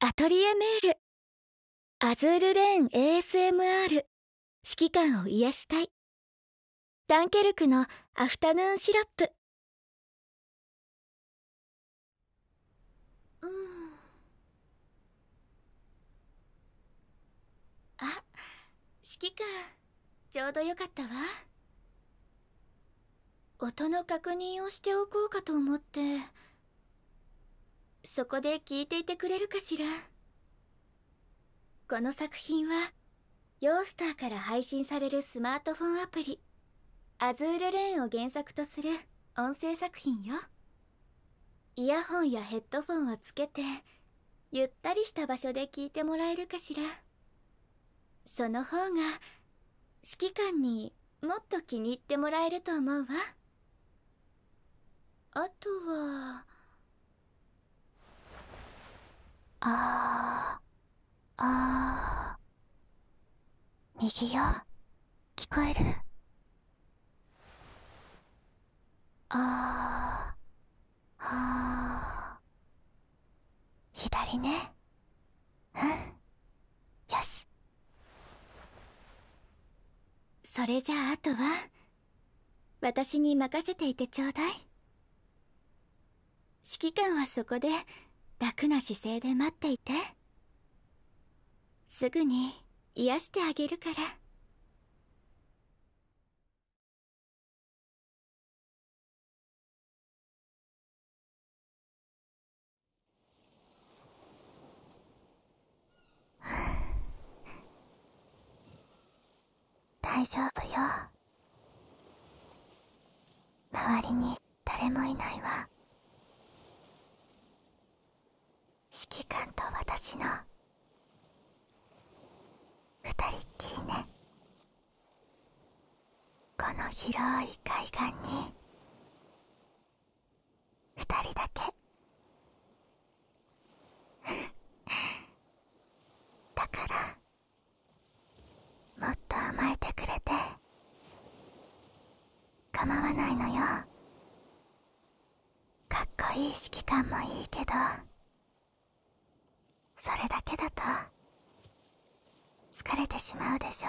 アトリエメールアズールレーン ASMR 指揮官を癒したいダンケルクのアフタヌーンシロップうんあ指揮官ちょうどよかったわ音の確認をしておこうかと思ってそこで聞いていてくれるかしらこの作品はヨースターから配信されるスマートフォンアプリ「アズールレーン」を原作とする音声作品よイヤホンやヘッドフォンをつけてゆったりした場所で聞いてもらえるかしらその方が指揮官にもっと気に入ってもらえると思うわあとはあーあー右よ聞こえるああ。あー左ねうんよしそれじゃああとは私に任せていてちょうだい指揮官はそこで楽な姿勢で待っていてすぐに癒してあげるから。大丈夫よ周りに誰もいないわ指揮官と私の二人っきりねこの広い海岸に2人だけ だからもっと甘えてくれて構わないのよかっこいい指揮官もいいけどそれだけだと疲れてしまうでしょ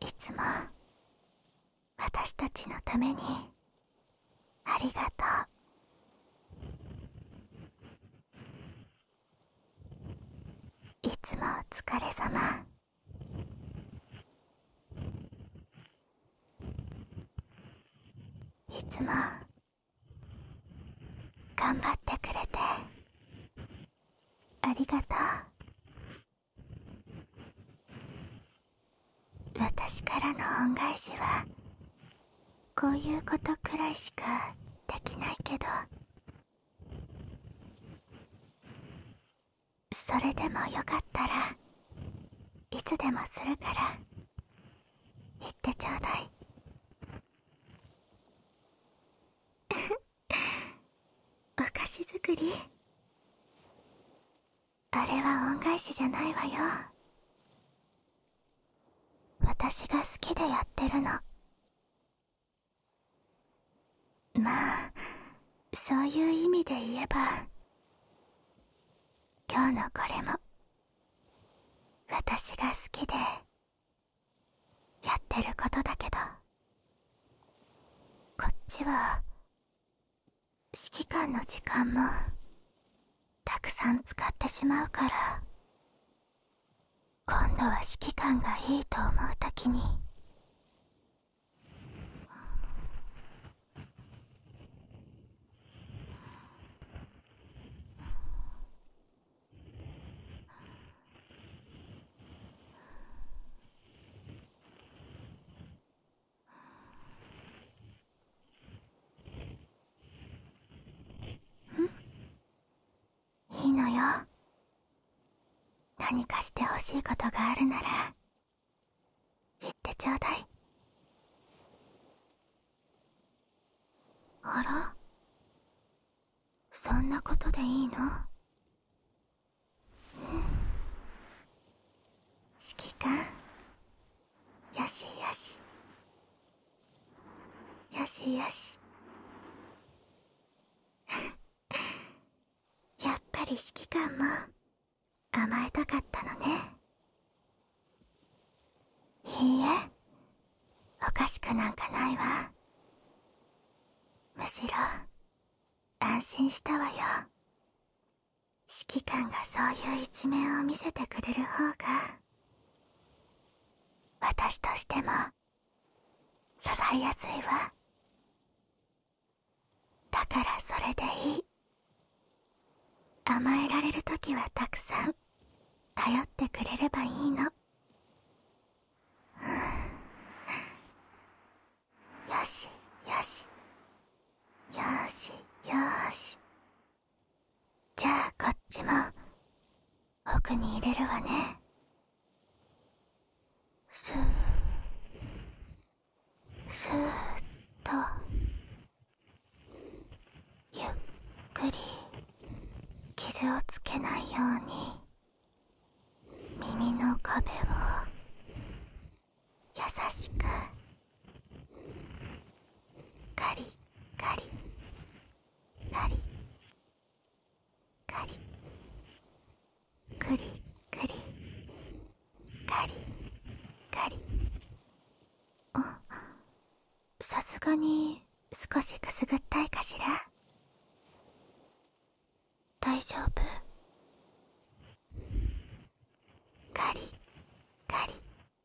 いつも私たちのためにありがとういつもお疲れ様いつも頑張ってくれてありがとう私からの恩返しはこういうことくらいしかできないけどそれでもよかったらいつでもするから言ってちょうだい お菓子作りあれは恩返しじゃないわよ私が好きでやってるのまあそういう意味で言えば今日のこれも私が好きでやってることだけどこっちは指揮官の時間もたくさん使ってしまうから今度は指揮官がいいと思う時にんいいのよ何かしてほしいことがあるなら言ってちょうだいあらそんなことでいいの指揮官よしよしよしよし やっぱり指揮官も甘えたかったのねいいえおかしくなんかないわむしろ安心したわよ指揮官がそういう一面を見せてくれる方が私としても支えやすいわだからそれでいい甘えられる時はたくさん頼ってくれればいいのよしよしよしよしじゃあこっちも奥に入れるわねスースーッとゆっくり傷をつけないように耳の壁を優しくカリカリカリカリクリクリカリカリあさすがに少しくすぐったいかしら大丈夫カリカリ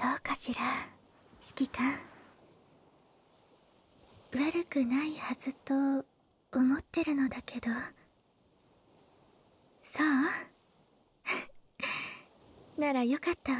どうかしら指揮官悪くないはずと思ってるのだけどそう ならよかったわ。